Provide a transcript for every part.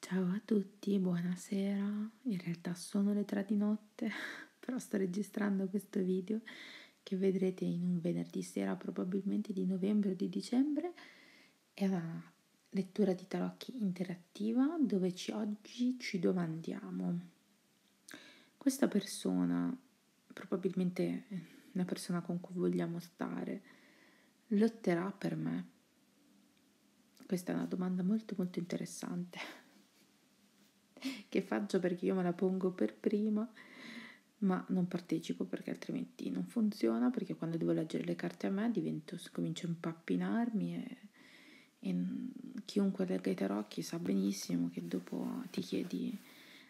Ciao a tutti, buonasera. In realtà sono le 3 di notte, però sto registrando questo video che vedrete in un venerdì sera, probabilmente di novembre o di dicembre. È una lettura di tarocchi interattiva dove ci, oggi ci domandiamo: questa persona, probabilmente la persona con cui vogliamo stare, lotterà per me? Questa è una domanda molto molto interessante che faccio perché io me la pongo per prima ma non partecipo perché altrimenti non funziona perché quando devo leggere le carte a me divento, comincio a impappinarmi e, e chiunque legga i tarocchi sa benissimo che dopo ti chiedi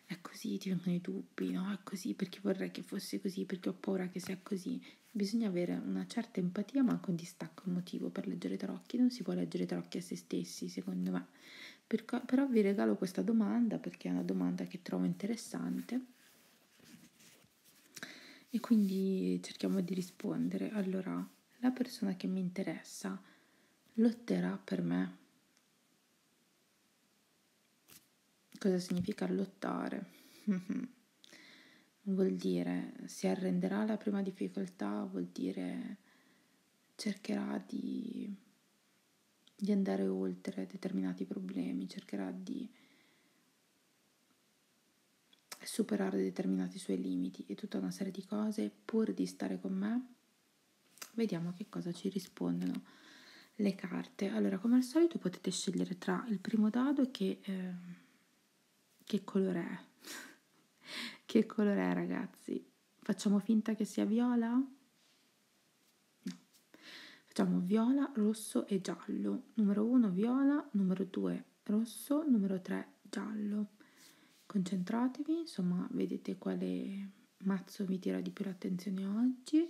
è così, ti vengono i dubbi, no, è così perché vorrei che fosse così, perché ho paura che sia così. Bisogna avere una certa empatia ma anche un distacco emotivo per leggere i tarocchi, non si può leggere i tarocchi a se stessi secondo me. Perco, però vi regalo questa domanda perché è una domanda che trovo interessante e quindi cerchiamo di rispondere. Allora, la persona che mi interessa lotterà per me? Cosa significa lottare? vuol dire si arrenderà alla prima difficoltà, vuol dire cercherà di, di andare oltre determinati problemi, cercherà di superare determinati suoi limiti e tutta una serie di cose pur di stare con me. Vediamo che cosa ci rispondono le carte. Allora, come al solito potete scegliere tra il primo dado che, eh, che colore è. che colore è, ragazzi? Facciamo finta che sia viola? No. Facciamo viola, rosso e giallo. Numero 1 viola, numero 2 rosso, numero 3 giallo. Concentratevi, insomma, vedete quale mazzo vi tira di più l'attenzione oggi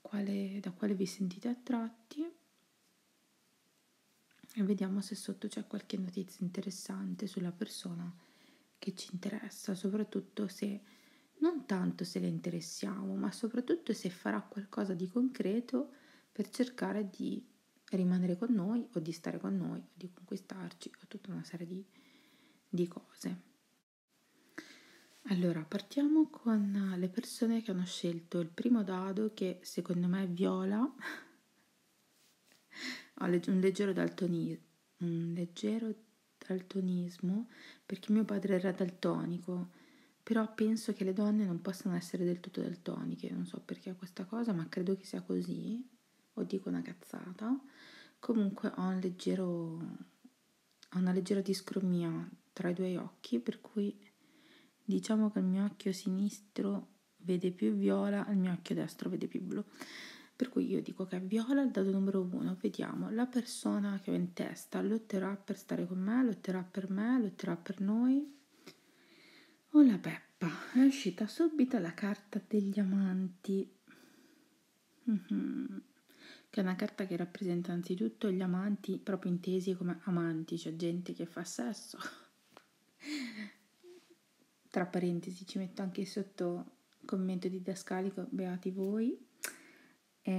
quale, da quale vi sentite attratti e vediamo se sotto c'è qualche notizia interessante sulla persona che ci interessa, soprattutto se non tanto se le interessiamo, ma soprattutto se farà qualcosa di concreto per cercare di rimanere con noi o di stare con noi o di conquistarci o tutta una serie di, di cose. Allora, partiamo con le persone che hanno scelto il primo dado che secondo me è viola, ho un leggero, daltoni- un leggero daltonismo perché mio padre era daltonico, però penso che le donne non possano essere del tutto daltoniche, non so perché questa cosa, ma credo che sia così, o dico una cazzata. Comunque ho un leggero ha una leggera discromia tra i due occhi, per cui diciamo che il mio occhio sinistro vede più viola, il mio occhio destro vede più blu. Per cui io dico che è viola il dato numero uno, vediamo, la persona che ho in testa lotterà per stare con me, lotterà per me, lotterà per noi. Oh la peppa, è uscita subito la carta degli amanti. Mhm. Che è una carta che rappresenta anzitutto gli amanti, proprio intesi come amanti, cioè gente che fa sesso. Tra parentesi ci metto anche sotto commento didascalico, beati voi. E...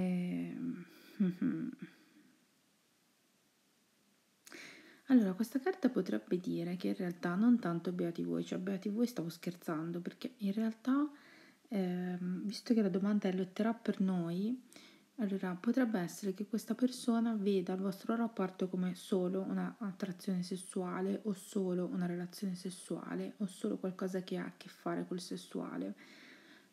Ehm, mhm. Allora, questa carta potrebbe dire che in realtà non tanto beati voi, cioè beati voi stavo scherzando, perché in realtà eh, visto che la domanda è lotterà per noi, allora potrebbe essere che questa persona veda il vostro rapporto come solo un'attrazione sessuale o solo una relazione sessuale o solo qualcosa che ha a che fare col sessuale.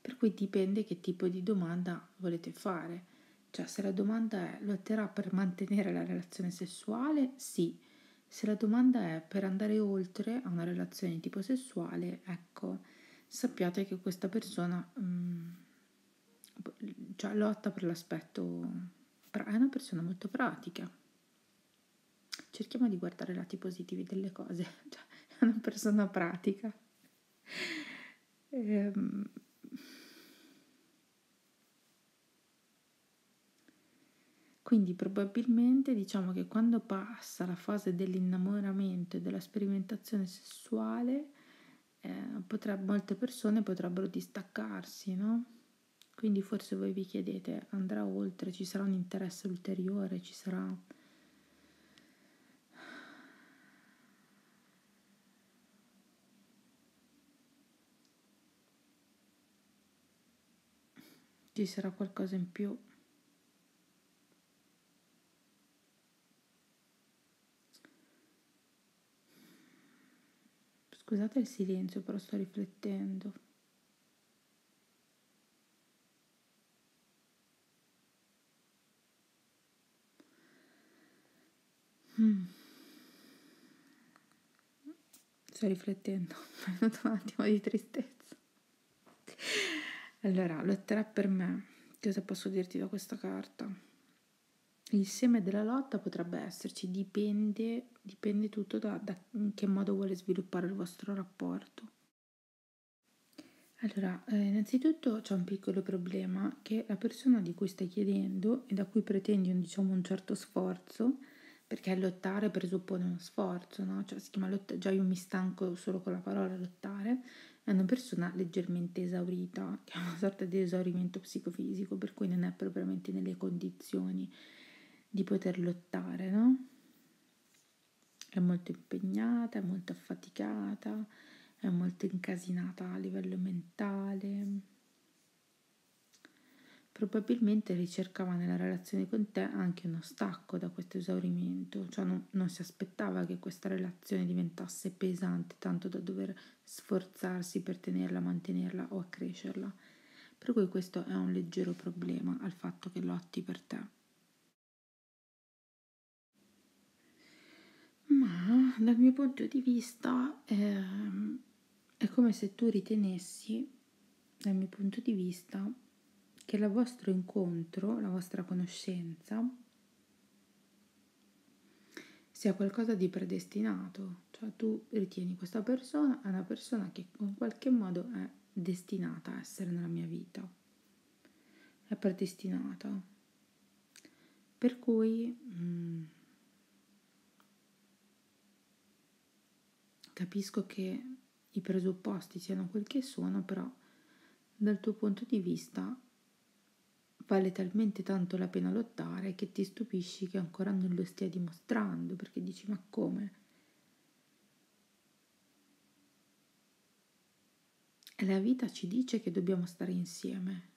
Per cui dipende che tipo di domanda volete fare. Cioè, se la domanda è lotterà per mantenere la relazione sessuale, sì. Se la domanda è per andare oltre a una relazione di tipo sessuale, è Ecco, sappiate che questa persona mh, mm, cioè, lotta per l'aspetto... È una persona molto pratica. Cerchiamo di guardare i lati positivi delle cose. Cioè, è una persona pratica. Ehm... Quindi probabilmente diciamo che quando quando passa la fase dell'innamoramento e della sperimentazione sessuale, eh, potreb- molte persone potrebbero distaccarsi, no? Quindi forse voi vi chiedete, andrà oltre, ci sarà un interesse ulteriore, ci sarà... Ci sarà qualcosa in più. Scusate il silenzio, però sto riflettendo. Mm. Sto riflettendo, mi è venuto un attimo di tristezza. Allora, lettera per me, cosa posso dirti da questa carta? Il seme della lotta potrebbe esserci, dipende, dipende tutto da, da in che modo vuole sviluppare il vostro rapporto. Allora, eh, innanzitutto c'è un piccolo problema che la persona di cui stai chiedendo e da cui pretendi un, diciamo, un certo sforzo, perché lottare presuppone uno sforzo, no? cioè, si chiama lotta, già io mi stanco solo con la parola lottare, è una persona leggermente esaurita, che ha una sorta di esaurimento psicofisico, per cui non è propriamente nelle condizioni di poter lottare, no? È molto impegnata, è molto affaticata, è molto incasinata a livello mentale probabilmente ricercava nella relazione con te anche uno stacco da questo esaurimento, cioè non, non si aspettava che questa relazione diventasse pesante tanto da dover sforzarsi per tenerla, mantenerla o accrescerla. Per cui questo è un leggero problema al fatto che lotti per te. Ma dal mio punto di vista eh, è come se tu ritenessi dal mio punto di vista, che il vostro incontro, la vostra conoscenza, sia qualcosa di predestinato, cioè tu ritieni questa persona è una persona che in qualche modo è destinata a essere nella mia vita, è predestinata. Per cui... Mm, Capisco che i presupposti siano quel che sono, però dal tuo punto di vista vale talmente tanto la pena lottare che ti stupisci che ancora non lo stia dimostrando, perché dici ma come? La vita ci dice che dobbiamo stare insieme,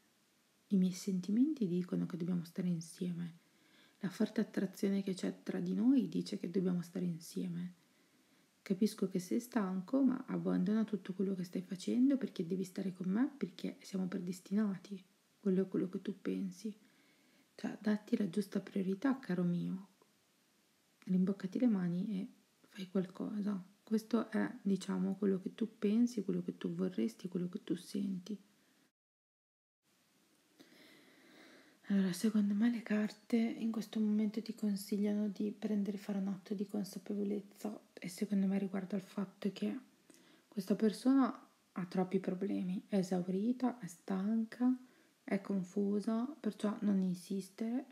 i miei sentimenti dicono che dobbiamo stare insieme, la forte attrazione che c'è tra di noi dice che dobbiamo stare insieme. Capisco che sei stanco, ma abbandona tutto quello che stai facendo perché devi stare con me, perché siamo predestinati. Quello è quello che tu pensi. Cioè, datti la giusta priorità, caro mio. Rimboccati le mani e fai qualcosa. Questo è, diciamo, quello che tu pensi, quello che tu vorresti, quello che tu senti. Allora, secondo me le carte in questo momento ti consigliano di prendere, fare un atto di consapevolezza e secondo me riguarda il fatto che questa persona ha troppi problemi, è esaurita, è stanca, è confusa, perciò non insistere.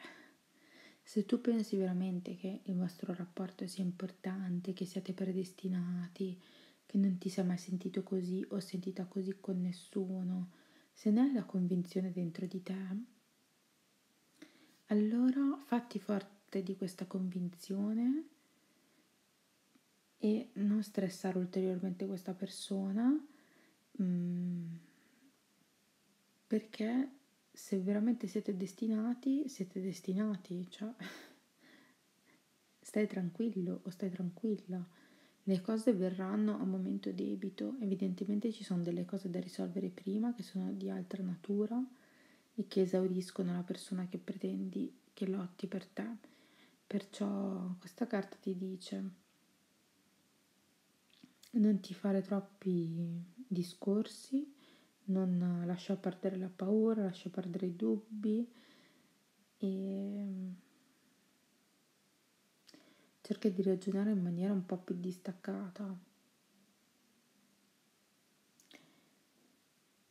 Se tu pensi veramente che il vostro rapporto sia importante, che siate predestinati, che non ti sei mai sentito così o sentita così con nessuno, se ne hai la convinzione dentro di te, allora fatti forte di questa convinzione e non stressare ulteriormente questa persona mm, perché se veramente siete destinati, siete destinati, cioè stai tranquillo o stai tranquilla le cose verranno a momento debito, evidentemente ci sono delle cose da risolvere prima che sono di altra natura e che esauriscono la persona che pretendi che lotti per te. Perciò questa carta ti dice non ti fare troppi discorsi, non lascia perdere la paura, lascia perdere i dubbi e Cerca di ragionare in maniera un po' più distaccata.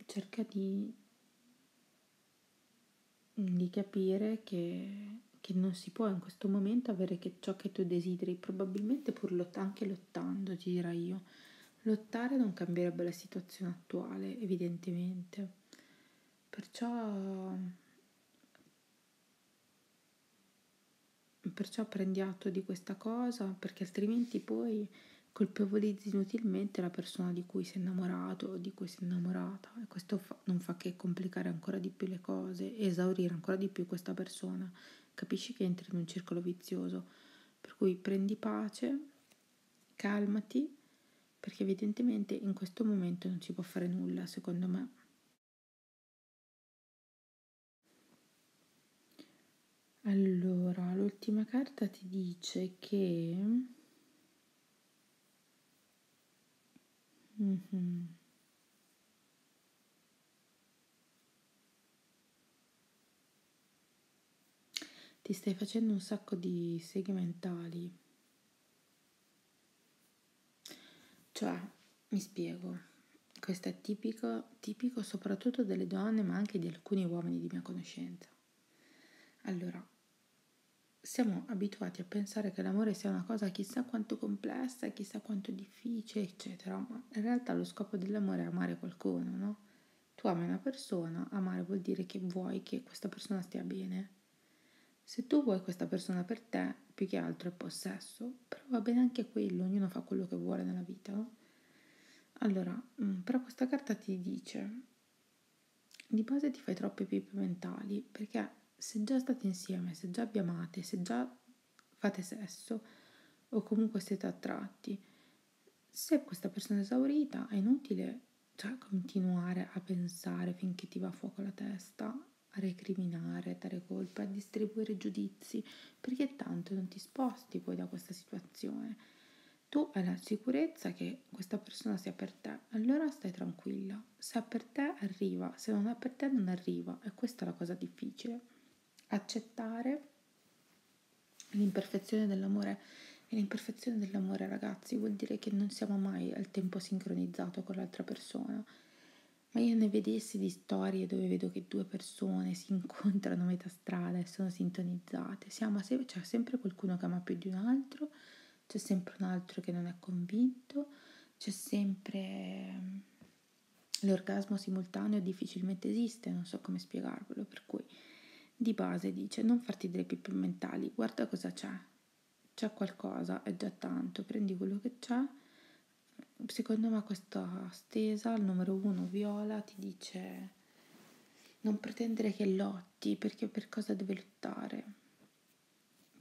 Cerca di, di capire che, che, non si può in questo momento avere che ciò che tu desideri, probabilmente pur lott- anche lottando, ti dirà io. Lottare non cambierebbe la situazione attuale, evidentemente Perciò, perciò prendi atto di questa cosa perché altrimenti poi colpevolizzi inutilmente la persona di cui sei innamorato o di cui sei innamorata e questo fa, non fa che complicare ancora di più le cose e esaurire ancora di più questa persona. Capisci che entri in un circolo vizioso, per cui prendi pace, calmati perché evidentemente in questo momento non si può fare nulla, secondo me. Allora, l'ultima carta ti dice che... Mm-hmm. Ti stai facendo un sacco di seghe mentali cioè, mi spiego, questo è tipico, tipico soprattutto delle donne, ma anche di alcuni uomini di mia conoscenza. Allora, siamo abituati a pensare che l'amore sia una cosa chissà quanto complessa, chissà quanto difficile, eccetera, ma in realtà lo scopo dell'amore è amare qualcuno, no? Tu ami una persona, amare vuol dire che vuoi che questa persona stia bene se tu vuoi questa persona per te, più che altro è possesso, però va bene anche quello, ognuno fa quello che vuole nella vita. No? Allora, mm, però questa carta ti dice, di base ti fai troppe pippe mentali, perché se già state insieme, se già vi amate, se già fate sesso o comunque siete attratti, se questa persona è esaurita è inutile cioè continuare a pensare finché ti va a fuoco la testa, a recriminare, a dare colpe, a distribuire giudizi, perché tanto non ti sposti poi da questa situazione. Tu hai la sicurezza che questa persona sia per te, allora stai tranquilla. Se è per te arriva, se non è per te non arriva. E questa è la cosa difficile. Accettare l'imperfezione dell'amore e l'imperfezione dell'amore, ragazzi, vuol dire che non siamo mai al tempo sincronizzato con l'altra persona. Ma io ne vedessi di storie dove vedo che due persone si incontrano a metà strada e sono sintonizzate. Se- c'è sempre qualcuno che ama più di un altro, c'è sempre un altro che non è convinto, c'è sempre... Ehm, l'orgasmo simultaneo difficilmente esiste, non so come spiegarvelo, per cui di base dice non farti delle pippe mentali, guarda cosa c'è, c'è qualcosa, è già tanto, prendi quello che c'è. Secondo me questa stesa, il numero uno viola, ti dice non pretendere che lotti, perché per cosa deve lottare?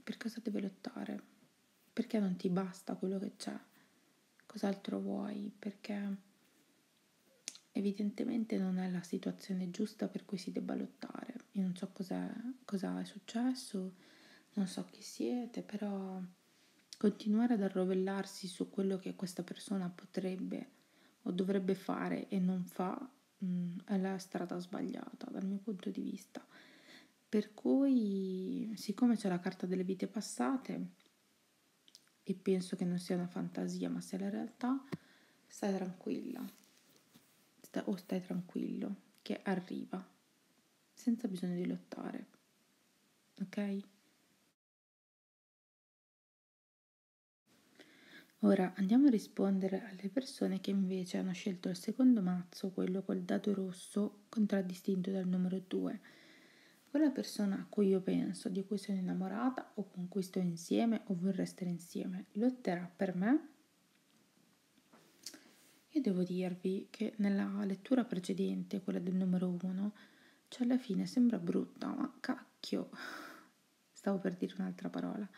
Per cosa deve lottare? Perché non ti basta quello che c'è? Cos'altro vuoi? Perché evidentemente non è la situazione giusta per cui si debba lottare io non so cosa è successo, non so chi siete, però continuare ad arrovellarsi su quello che questa persona potrebbe o dovrebbe fare e non fa mh, mm, è la strada sbagliata dal mio punto di vista. Per cui, siccome c'è la carta delle vite passate, e penso che non sia una fantasia ma sia la realtà, stai tranquilla, sta, o oh, stai tranquillo che arriva senza bisogno di lottare. Ok? Ora andiamo a rispondere alle persone che invece hanno scelto il secondo mazzo, quello col dato rosso contraddistinto dal numero 2. Quella persona a cui io penso, di cui sono innamorata o con cui sto insieme o vorrei stare insieme, lotterà era per me e devo dirvi che nella lettura precedente, quella del numero 1, cioè alla fine sembra brutta, ma cacchio, stavo per dire un'altra parola.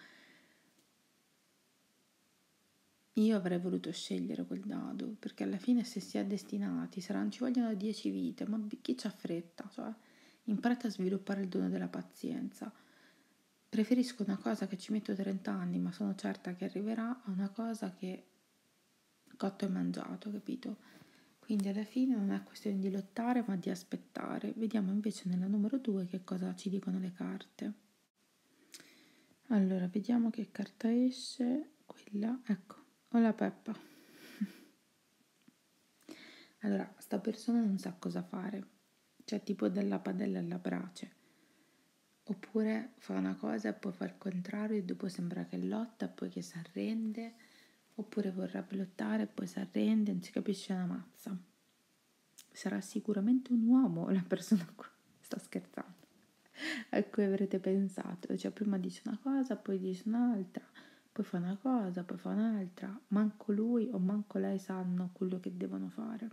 Io avrei voluto scegliere quel dado, perché alla fine se si è destinati saranno, ci vogliono 10 vite, ma chi c'ha fretta? Cioè, imparate a sviluppare il dono della pazienza. Preferisco una cosa che ci metto 30 anni, ma sono certa che arriverà, a una cosa che cotto e mangiato, capito? Quindi alla fine non è questione di lottare, ma di aspettare. Vediamo invece nella numero 2 che cosa ci dicono le carte. Allora, vediamo che carta esce. Quella, ecco, ho la Peppa. Allora, sta persona non sa cosa fare, cioè tipo dalla padella alla brace. Oppure fa una cosa e poi fa il contrario e dopo sembra che lotta e poi che si arrende, oppure vorrebbe lottare e poi si arrende, non si capisce una mazza. Sarà sicuramente un uomo la persona qua, sto scherzando, a cui avrete pensato. Cioè prima dice una cosa, poi dice un'altra poi fa una cosa, poi fa un'altra, manco lui o manco lei sanno quello che devono fare.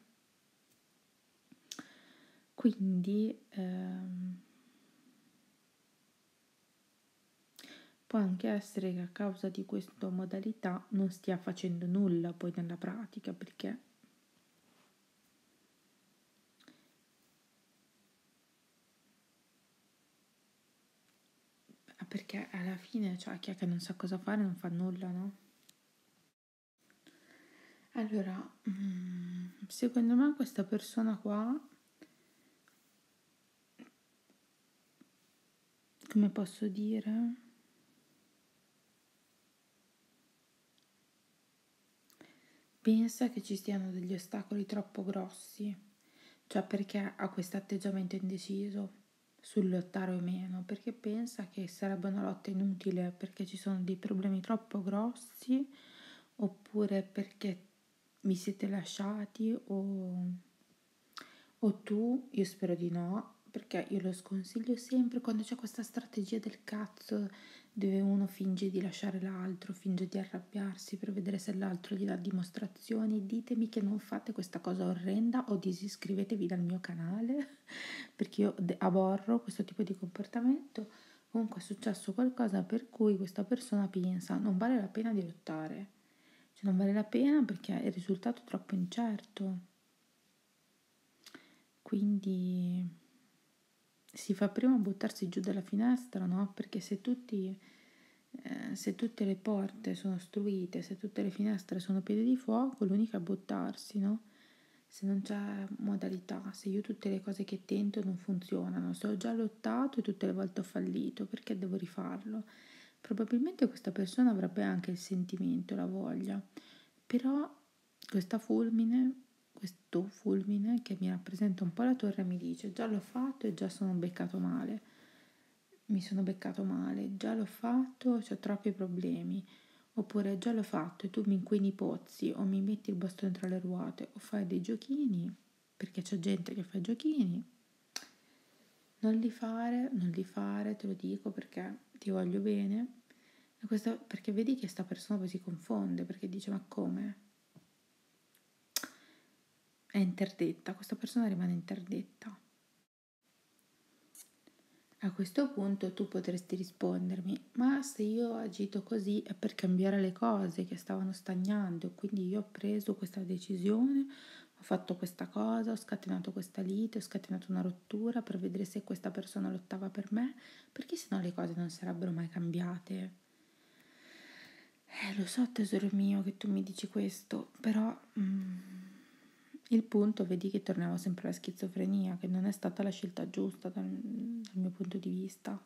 Quindi ehm, può anche essere che a causa di questa modalità non stia facendo nulla poi nella pratica perché Ah, perché alla fine, cioè, chi è che non sa cosa fare non fa nulla, no? Allora, mm, secondo me questa persona qua, come posso dire? Pensa che ci siano degli ostacoli troppo grossi, cioè perché ha questo atteggiamento indeciso sul lottare o meno, perché pensa che sarebbe una lotta inutile perché ci sono dei problemi troppo grossi oppure perché vi siete lasciati o, o tu, io spero di no, perché io lo sconsiglio sempre quando c'è questa strategia del cazzo dove uno finge di lasciare l'altro, finge di arrabbiarsi per vedere se l'altro gli dà dimostrazione illustrazioni, ditemi che non fate questa cosa orrenda o disiscrivetevi dal mio canale perché io aborro questo tipo di comportamento. Comunque è successo qualcosa per cui questa persona pensa non vale la pena di lottare, cioè non vale la pena perché il risultato è troppo incerto. Quindi si fa prima buttarsi giù dalla finestra, no? Perché se tutti eh, se tutte le porte sono ostruite, se tutte le finestre sono piede di fuoco, l'unica è buttarsi, no? Se non c'è modalità, se io tutte le cose che tento non funzionano, se ho già lottato e tutte le volte ho fallito, perché devo rifarlo? Probabilmente questa persona avrebbe anche il sentimento, la voglia, però questa fulmine, questo fulmine che mi rappresenta un po' la torre mi dice già l'ho fatto e già sono beccato male mi sono beccato male, già l'ho fatto, ho troppi problemi. Oppure già l'ho fatto e tu mi inquini i pozzi o mi metti il bastone tra le ruote o fai dei giochini, perché c'è gente che fa giochini. Non li fare, non li fare, te lo dico perché ti voglio bene. E questo perché vedi che sta persona poi si confonde perché dice ma come? è interdetta, questa persona rimane interdetta. A questo punto tu potresti rispondermi, ma se io ho agito così è per cambiare le cose che stavano stagnando, quindi io ho preso questa decisione, ho fatto questa cosa, ho scatenato questa lite, ho scatenato una rottura per vedere se questa persona lottava per me, perché sennò le cose non sarebbero mai cambiate. Eh, lo so tesoro mio che tu mi dici questo, però... Mm, il punto, vedi che torniamo sempre alla schizofrenia, che non è stata la scelta giusta dal, dal mio punto di vista.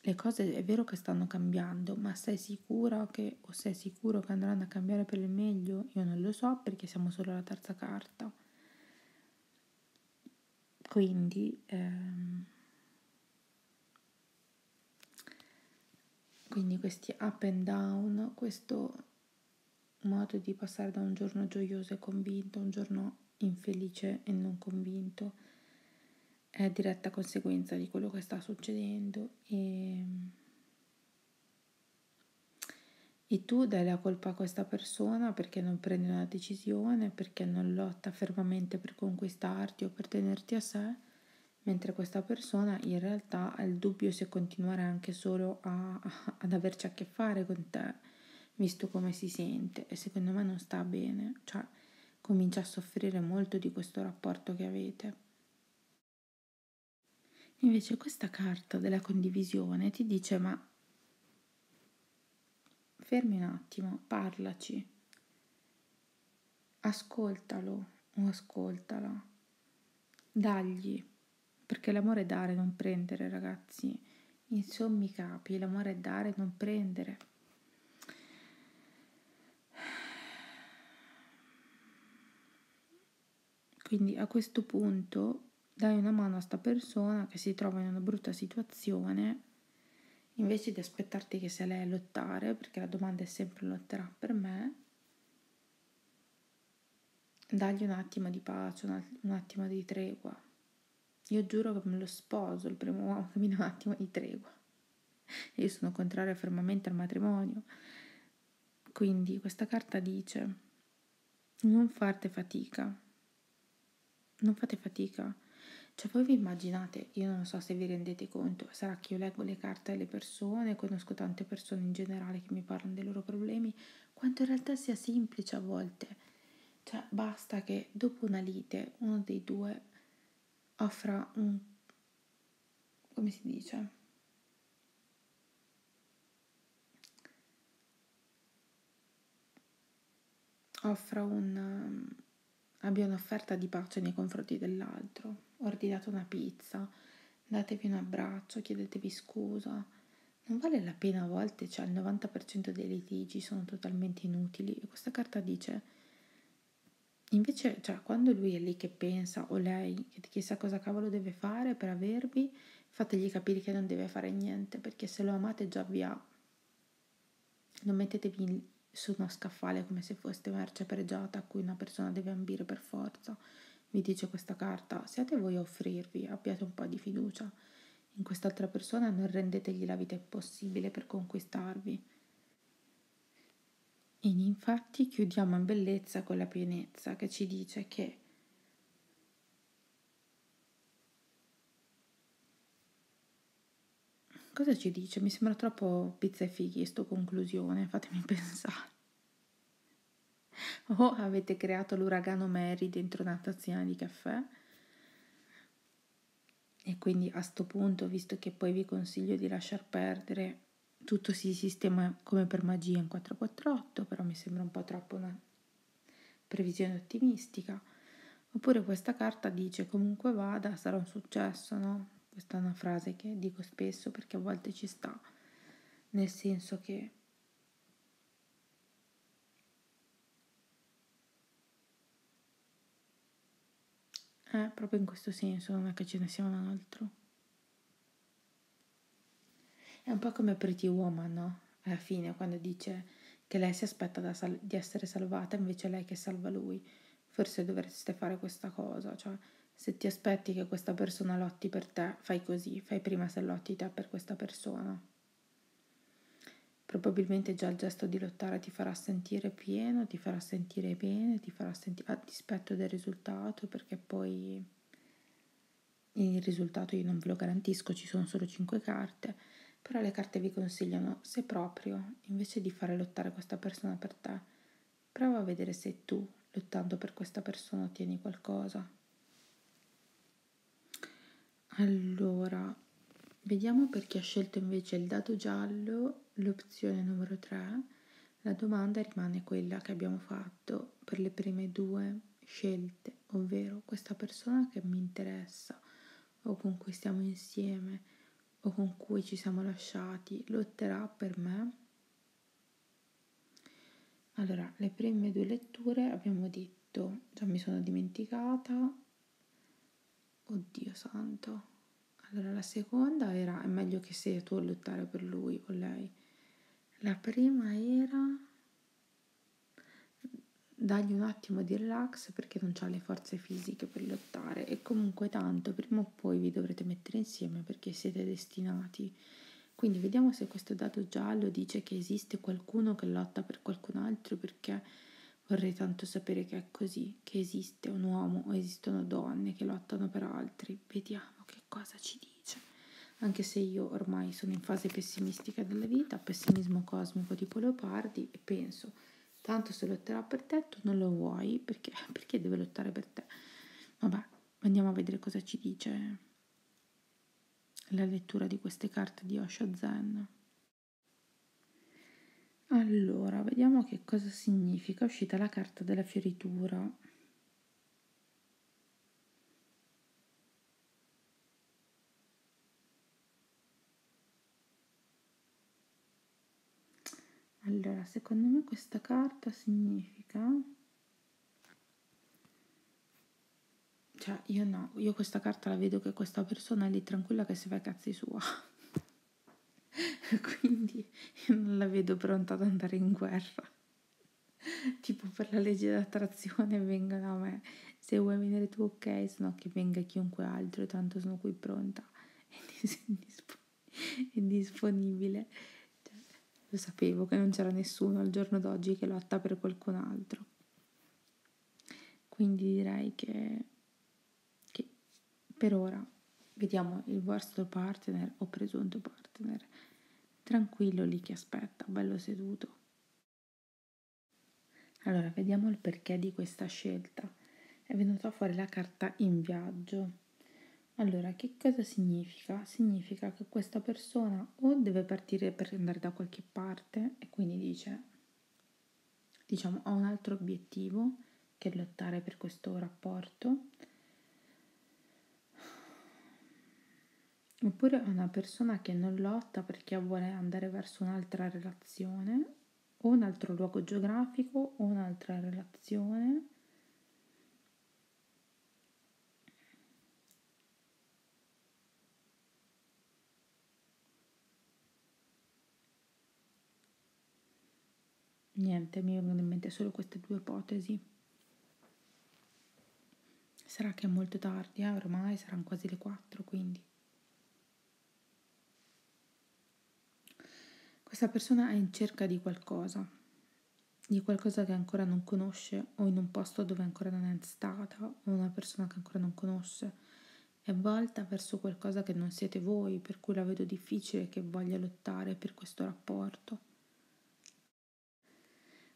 Le cose è vero che stanno cambiando, ma sei sicura che o sei sicuro che andranno a cambiare per il meglio? Io non lo so perché siamo solo alla terza carta. Quindi... Ehm, quindi questi up and down, questo modo di passare da un giorno gioioso e convinto a un giorno infelice e non convinto è diretta conseguenza di quello che sta succedendo e, e tu dai la colpa a questa persona perché non prende una decisione, perché non lotta fermamente per conquistarti o per tenerti a sé, mentre questa persona in realtà ha il dubbio se continuare anche solo a, a, ad averci a che fare con te, visto come si sente e secondo me non sta bene, cioè comincia a soffrire molto di questo rapporto che avete. Invece questa carta della condivisione ti dice ma fermi un attimo, parlaci, ascoltalo o ascoltala, dagli, perché l'amore è dare, non prendere, ragazzi. Insomma, capi, l'amore è dare, non prendere. Quindi a questo punto dai una mano a sta persona che si trova in una brutta situazione Invece di aspettarti che sia lei a lottare, perché la domanda è sempre lotterà per me, dagli un attimo di pace, un attimo di tregua. Io giuro che me lo sposo, il primo uomo che mi dà un attimo di tregua. Io sono contraria fermamente al matrimonio. Quindi questa carta dice non farte fatica, non fate fatica. Cioè voi vi immaginate, io non so se vi rendete conto, sarà che io leggo le carte alle persone, conosco tante persone in generale che mi parlano dei loro problemi, quanto in realtà sia semplice a volte. Cioè basta che dopo una lite uno dei due offra un... come si dice? offra un, ehm, abbia un'offerta di pace nei confronti dell'altro. Ordinate una pizza, datevi un abbraccio, chiedetevi scusa. Non vale la pena a volte, cioè il 90% dei litigi sono totalmente inutili. E questa carta dice, invece, cioè, quando lui è lì che pensa o lei che chissà cosa cavolo deve fare per avervi, fategli capire che non deve fare niente, perché se lo amate già vi ha non mettetevi su uno scaffale come se foste merce pregiata a cui una persona deve ambire per forza, vi dice questa carta. Siate voi a offrirvi, abbiate un po' di fiducia in quest'altra persona, non rendetegli la vita impossibile per conquistarvi. E infatti chiudiamo in bellezza con la pienezza che ci dice che Cosa ci dice? Mi sembra troppo pizza e fighi, sto conclusione, fatemi pensare. O oh, avete creato l'uragano Mary dentro una tazzina di caffè. E quindi a sto punto, visto che poi vi consiglio di lasciar perdere, tutto si sistema come per magia in 448, però mi sembra un po' troppo una previsione ottimistica. Oppure questa carta dice comunque vada, sarà un successo, no? Questa è una frase che dico spesso perché a volte ci sta, nel senso che eh, proprio in questo senso, non è che ce ne sia un altro. È un po' come Pretty Woman, no? Alla fine, quando dice che lei si aspetta sal- di essere salvata, invece è lei che salva lui. Forse dovreste fare questa cosa, cioè se ti aspetti che questa persona lotti per te, fai così, fai prima se lotti te per questa persona. Probabilmente già il gesto di lottare ti farà sentire pieno, ti farà sentire bene, ti farà sentire a dispetto del risultato, perché poi il risultato io non ve lo garantisco, ci sono solo 5 carte però le carte vi consigliano, se proprio, invece di fare lottare questa persona per te, prova a vedere se tu, lottando per questa persona, ottieni qualcosa. Allora, vediamo per chi ha scelto invece il dado giallo, l'opzione numero 3. La domanda rimane quella che abbiamo fatto per le prime due scelte, ovvero questa persona che mi interessa o con cui stiamo insieme o con cui ci siamo lasciati lotterà per me? Allora, le prime due letture abbiamo detto, già mi sono dimenticata, oddio santo. Allora, la seconda era, è meglio che sei tu a lottare per lui o lei. La prima era dagli un attimo di relax perché non ha le forze fisiche per lottare e comunque tanto prima o poi vi dovrete mettere insieme perché siete destinati. Quindi vediamo se questo dato giallo dice che esiste qualcuno che lotta per qualcun altro perché vorrei tanto sapere che è così, che esiste un uomo o esistono donne che lottano per altri. Vediamo che cosa ci dice. Anche se io ormai sono in fase pessimistica della vita, pessimismo cosmico tipo Leopardi e penso tanto se lotterà per te tu non lo vuoi perché, perché deve lottare per te vabbè andiamo a vedere cosa ci dice la lettura di queste carte di Osho Zen allora vediamo che cosa significa è uscita la carta della fioritura allora, secondo me questa carta significa... Cioè, io no, io questa carta la vedo che questa persona è lì tranquilla che si fa i cazzi sua. Quindi io non la vedo pronta ad andare in guerra. tipo per la legge d'attrazione vengono a me se vuoi venire tu ok, se no che venga chiunque altro, tanto sono qui pronta e, dis- disp- e disponibile. Cioè, lo sapevo che non c'era nessuno al giorno d'oggi che lotta per qualcun altro. Quindi direi che, che per ora vediamo il vostro partner o presunto partner tranquillo lì che aspetta, bello seduto. Allora, vediamo il perché di questa scelta. È venuta fuori la carta in viaggio. Allora, che cosa significa? Significa che questa persona o deve partire per andare da qualche parte e quindi dice, diciamo, ho un altro obiettivo che lottare per questo rapporto, oppure è una persona che non lotta perché vuole andare verso un'altra relazione relazione o un altro luogo geografico o un'altra relazione. Niente, mi vengono in mente solo queste due ipotesi. Sarà che è molto tardi, eh? ormai saranno quasi le 4, quindi... Questa persona è in cerca di qualcosa, di qualcosa che ancora non conosce o in un posto dove ancora non è stata o una persona che ancora non conosce. È volta verso qualcosa che non siete voi, per cui la vedo difficile che voglia lottare per questo rapporto.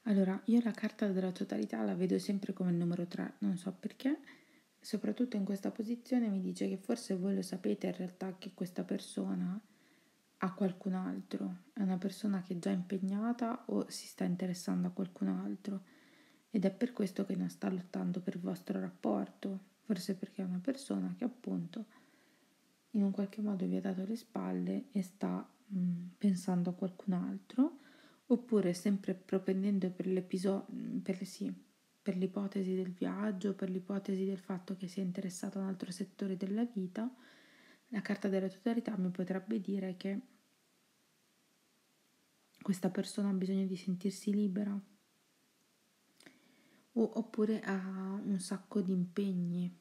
Allora, io la carta della totalità la vedo sempre come il numero 3, non so perché soprattutto in questa posizione mi dice che forse voi lo sapete in realtà che questa persona ha qualcun altro, è una persona che è già impegnata o si sta interessando a qualcun altro ed è per questo che non sta lottando per il vostro rapporto, forse perché è una persona che appunto in un qualche modo vi ha dato le spalle e sta mh, pensando a qualcun altro oppure sempre propendendo per, per, sì, per l'ipotesi del viaggio, per l'ipotesi del fatto che sia interessato a un altro settore della vita, la carta della totalità mi potrebbe dire che questa persona ha bisogno di sentirsi libera o, oppure ha un sacco di impegni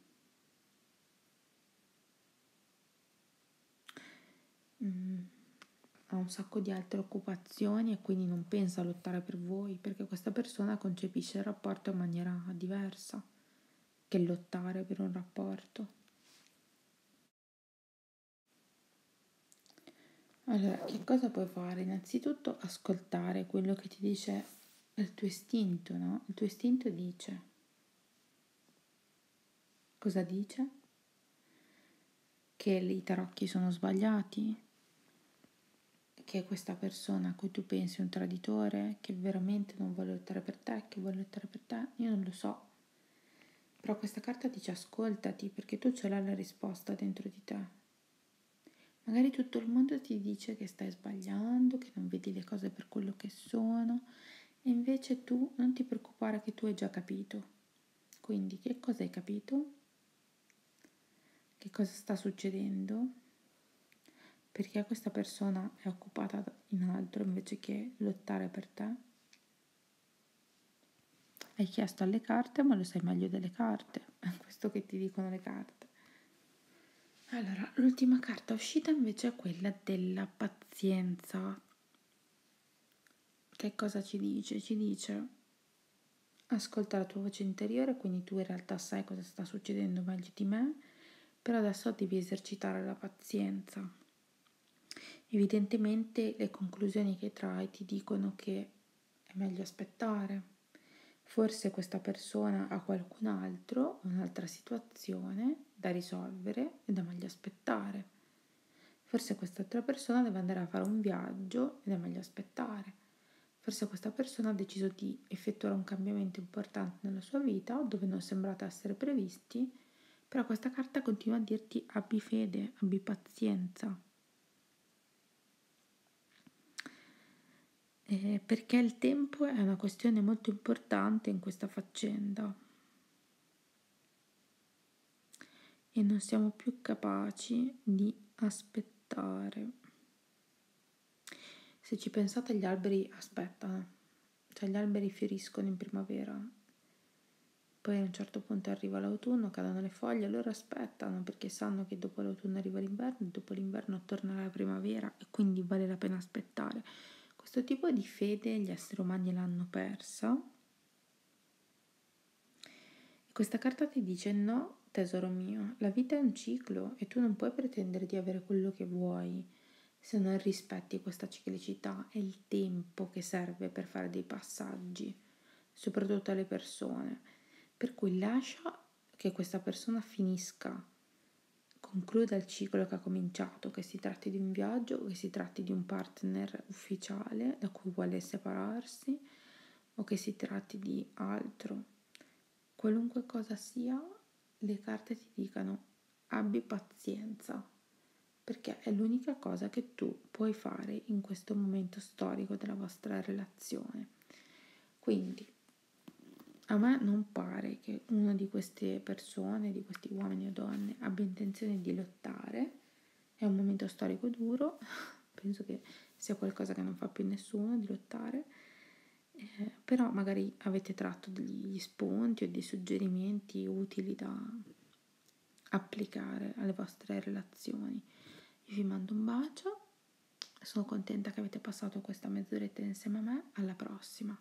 mm, ha un sacco di altre occupazioni e quindi non pensa a lottare per voi, perché questa persona concepisce il rapporto in maniera diversa che lottare per un rapporto. Allora, che cosa puoi fare? Innanzitutto ascoltare quello che ti dice il tuo istinto, no? Il tuo istinto dice. Cosa dice? che i tarocchi sono sbagliati, che questa persona a cui tu pensi è un traditore, che veramente non vuole lottare per te, che vuole lottare per te, io non lo so. Però questa carta dice ascoltati perché tu ce l'hai la risposta dentro di te. Magari tutto il mondo ti dice che stai sbagliando, che non vedi le cose per quello che sono, e invece tu non ti preoccupare che tu hai già capito. Quindi che cosa hai capito? Che cosa sta succedendo? Perché questa persona è occupata in altro invece che lottare per te? Hai chiesto alle carte, ma lo sai meglio delle carte. È questo che ti dicono le carte. Allora, l'ultima carta uscita invece è quella della pazienza. Che cosa ci dice? Ci dice ascolta la tua voce interiore, quindi tu in realtà sai cosa sta succedendo meglio di me, però adesso devi esercitare la pazienza. Evidentemente le conclusioni che trai ti dicono che è meglio aspettare. Forse questa persona ha qualcun altro, un'altra situazione da risolvere e da meglio aspettare. Forse quest'altra persona deve andare a fare un viaggio ed è meglio aspettare. Forse questa persona ha deciso di effettuare un cambiamento importante nella sua vita dove non sembrate essere previsti, però questa carta continua a dirti abbi fede, abbi pazienza. Eh, perché il tempo è una questione molto importante in questa faccenda e non siamo più capaci di aspettare. Se ci pensate gli alberi aspettano, cioè gli alberi fioriscono in primavera, poi a un certo punto arriva l'autunno, cadono le foglie, loro aspettano perché sanno che dopo l'autunno arriva l'inverno, dopo l'inverno torna la primavera e quindi vale la pena aspettare. Questo tipo di fede gli esseri umani l'hanno persa. E questa carta ti dice no, tesoro mio, la vita è un ciclo e tu non puoi pretendere di avere quello che vuoi se non rispetti questa ciclicità e il tempo che serve per fare dei passaggi, soprattutto alle persone. Per cui lascia che questa persona finisca concluda il ciclo che ha cominciato, che si tratti di un viaggio, che si tratti di un partner ufficiale da cui vuole separarsi o che si tratti di altro. Qualunque cosa sia, le carte ti dicano abbi pazienza, perché è l'unica cosa che tu puoi fare in questo momento storico della vostra relazione. Quindi, a me non pare che una di queste persone persone, di questi uomini o donne, abbia intenzione di lottare. È un momento storico duro, penso che sia qualcosa che non fa più nessuno di lottare, eh, però magari avete tratto degli spunti o dei suggerimenti utili da applicare alle vostre relazioni. Io vi mando un bacio, sono contenta che avete passato questa mezz'oretta insieme a me, alla prossima!